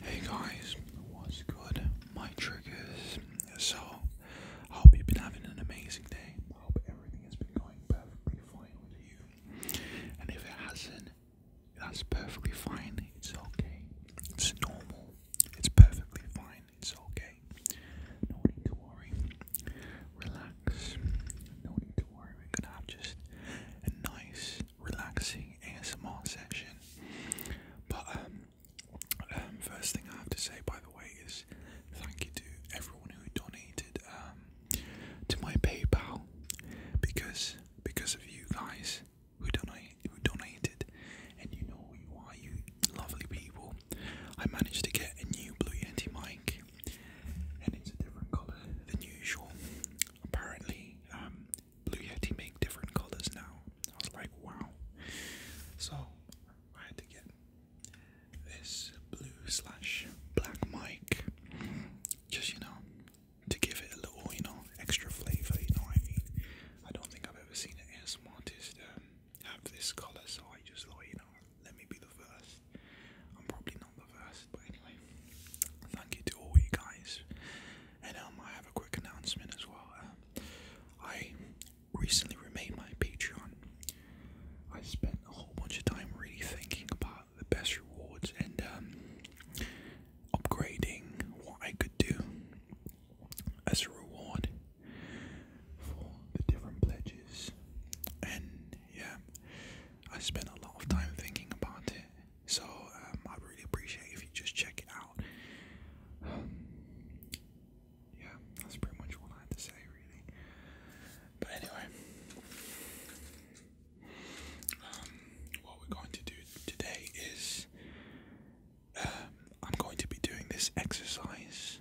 Hey guys, what's good? My triggers. So, I hope you've been having an amazing day. I hope everything has been going perfectly fine with you. And if it hasn't, that's perfectly fine. It's okay. It's normal. It's perfectly fine. It's okay. No need to worry. Relax. No need to worry. we just nice relaxing ASMR session. But um, um, first thing I have to say, by the way, is thank you to everyone who donated um, to my PayPal because because of you guys who donate who donated, and you know who you are, you lovely people. I managed to get a new Blue anti mic, and it's a different color than usual. Apparently, um, Blue Yeti make different colors now. I was like, wow. So I had to get this blue slash black mic, just you know, to give it a little, you know, extra flavor. You know what I mean? I don't think I've ever seen an ASMR artist um, have this color, so I just thought, you know, let me be the first. I'm probably not the first, but anyway, thank you to all you guys and um, I have a quick announcement as well. Uh, I recently remade my Patreon. I spent a whole bunch of time really thinking about the best rewards and um, upgrading what I could do as a reward for the different pledges. And yeah, I spent a lot of time thinking about it. So um, I really appreciate if you just check it out. yeah, that's pretty much all I had to say, really. But anyway, um, what we're going to do today is um, I'm going to be doing this exercise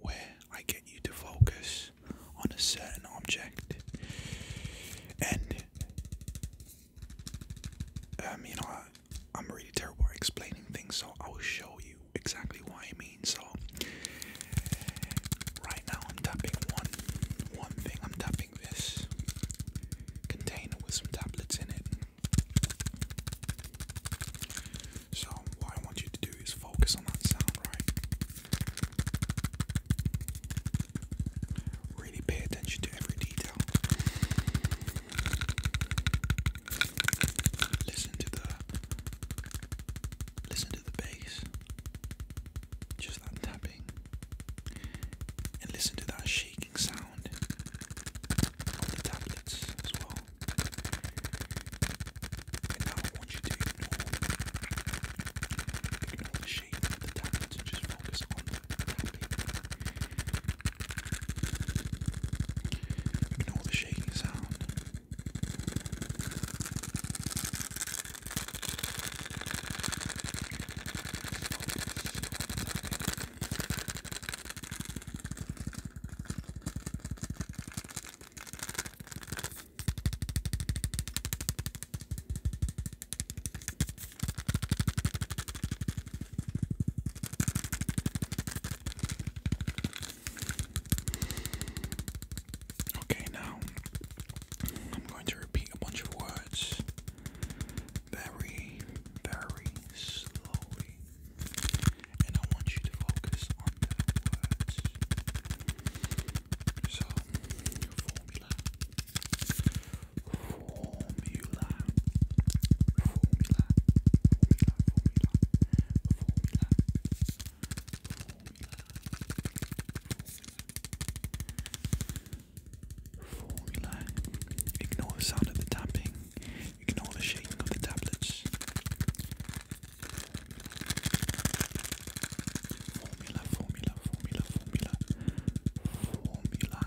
where I get you to focus on a certain object and um, you know, I, am really terrible at explaining things, so I'll show you exactly what I mean. So, right now I'm tapping one, one thing. I'm tapping this container with some tablets in it. So, what I want you to do is focus on that sound, right? Really pay attention to every detail listen to the listen to the bass just that tapping and listen to that shaking sound on the tablets as well and now I want you to ignore ignore the shape the tablets and just focus on tapping Ignore the shaking sound. Okay, now I'm going to repeat a bunch of words very, very slowly, and I want you to focus on the words. So, formula. Formula. Formula. Formula. Formula. Formula. Formula. Ignore the sound of the tapping. Ignore the shaking of the tablets. Formula, formula, formula, formula, formula,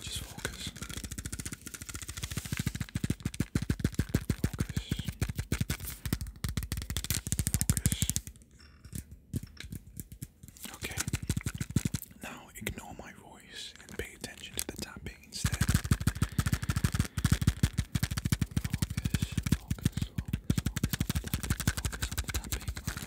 Just focus. Focus. Focus. Okay. Now ignore my voice and pay attention to the tapping instead. Focus, focus, focus, focus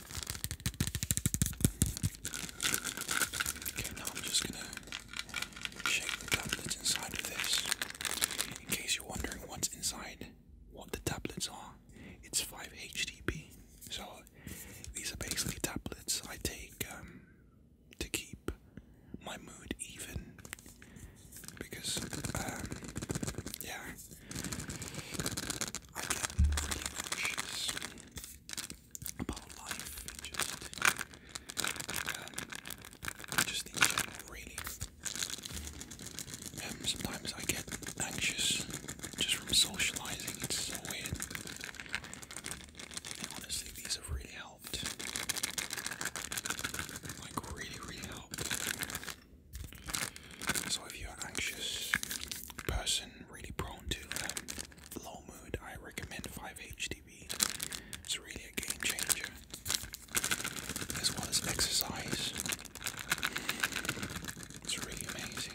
Okay, now I'm just gonna shake the tablet inside of this. In case you're wondering what's inside, what the tablets are, it's 5 HDP. So these are basically tablets I take um, to keep my mood even because um, yeah i get pretty anxious about life and just, um, just in general, really. Um, sometimes I get anxious just from socializing, it's so weird. honestly, these have really helped. Like, really, really helped. So, if you're an anxious person, i really prone to um, low mood, I recommend 5-HTB. It's really a game changer, as well as exercise. It's really amazing.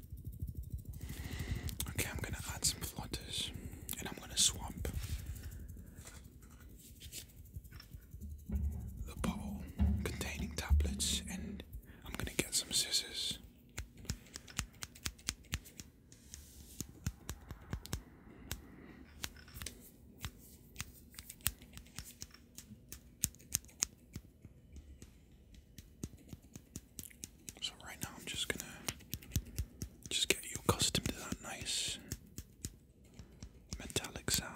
Okay, I'm gonna add some flutters and I'm gonna swap the bowl containing tablets and I'm gonna get some scissors. So right now I'm just gonna just get you accustomed to that nice metallic sound.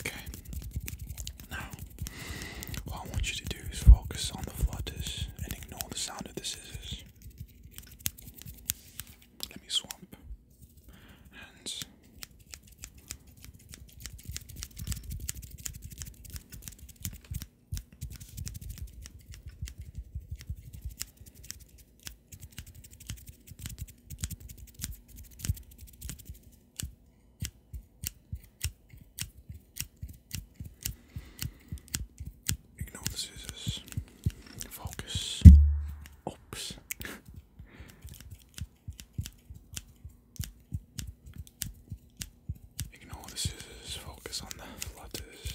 Okay. Now, what I want you to do is focus on the flutters and ignore the sound of the scissors. Let me swap Hands. Ignore the scissors. Focus. Oops. Ignore the scissors. Focus on the letters.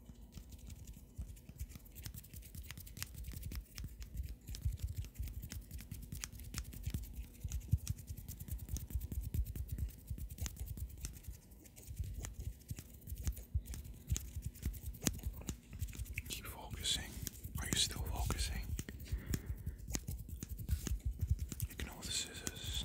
Keep focusing. Are you still focusing? Ignore the scissors.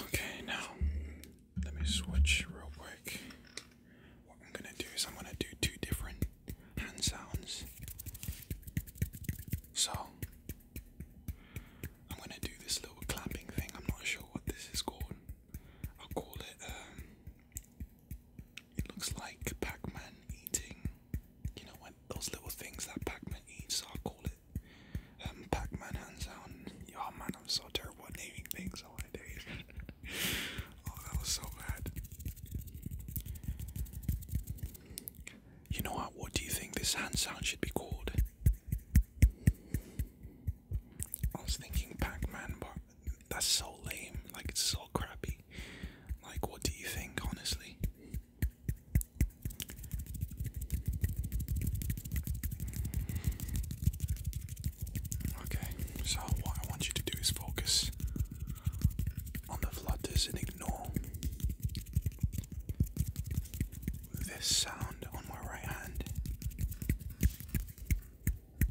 Okay, now let me switch real quick. What I'm gonna do is I'm gonna do two different hand sounds. So I'm gonna do this little clapping thing. I'm not sure what this is called. I'll call it um, it looks like Pac-Man eating. You know when those little things that Pac-Man eats, I'll call it. Um, Pac-Man hands down. Oh man, I'm so terrible at naming things all my days. oh, that was so bad. You know what? What do you think this hand sound should be called? I was thinking Pac-Man, that's so lame. Like it's so crappy. Like what do you think, honestly? Okay, so what I want you to do is focus on the flutters and ignore this sound on my right hand.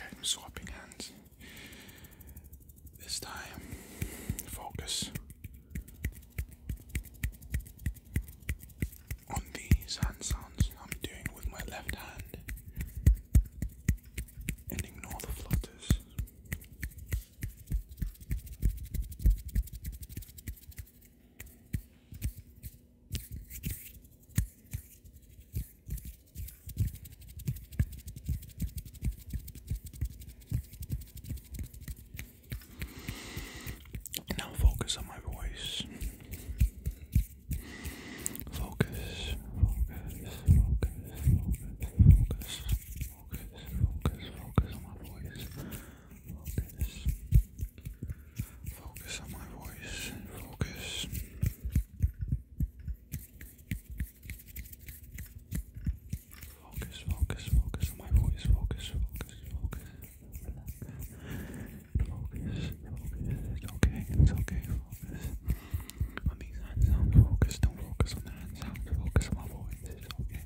I'm swapping hands. This time, focus on these hand sounds I'm doing with my left hand and ignore the flutters. Now focus on my voice. Focus, focus, focus, focus, focus, focus, focus, focus on my voice. Focus. Focus on my voice and focus. Focus, focus, focus on my voice. Focus, focus, focus. Relax. Focus, focus. It's okay, it's okay. Focus. On these hand sounds, focus. Don't focus on the hand sounds. Focus on my voice. It's okay.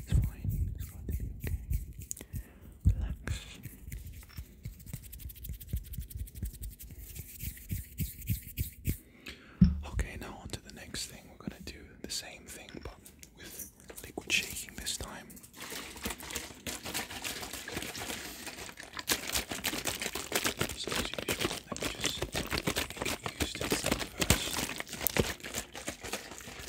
It's fine. It's going to be okay. Okay, now on to the next thing. We're gonna do the same thing but with liquid shaking this time.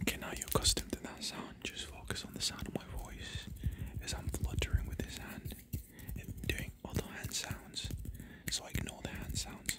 Okay, now you're accustomed to that sound. Just focus on the sound of my voice as I'm fluttering with this hand and doing other hand sounds. So ignore the hand sounds.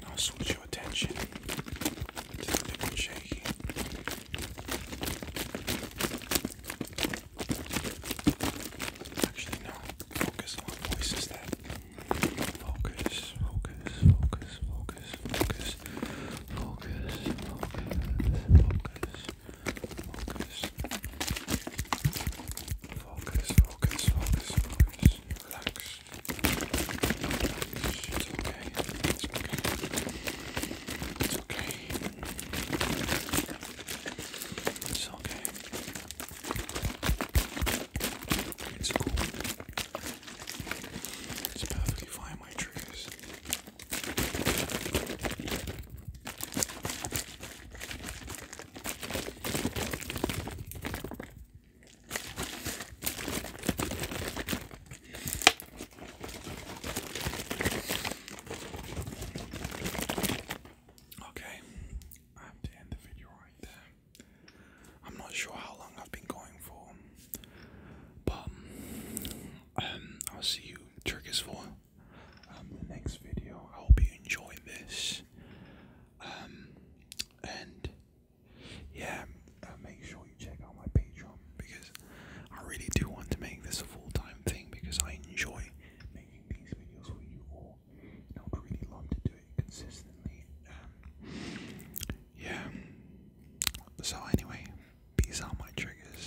Now switch your attention to the big and shaky. Actually, no. Focus on voices that. Focus, focus, focus, focus, focus, focus, focus, focus. Focus. Focus, focus, focus, Relax. It's okay. It's okay. It's okay. It's okay. It's cool. It's perfectly fine, my triggers. Okay, I have to end the video right there. I'm not sure how long I've been going for, but um, I'll see you, Turkish for um, the next video. I hope you enjoy this. Um, and yeah, uh, make sure you check out my Patreon because I really do want to make this a full time thing because I enjoy making these videos for you all. And I would really love to do it consistently. Um, yeah. So, anyway, these are my triggers.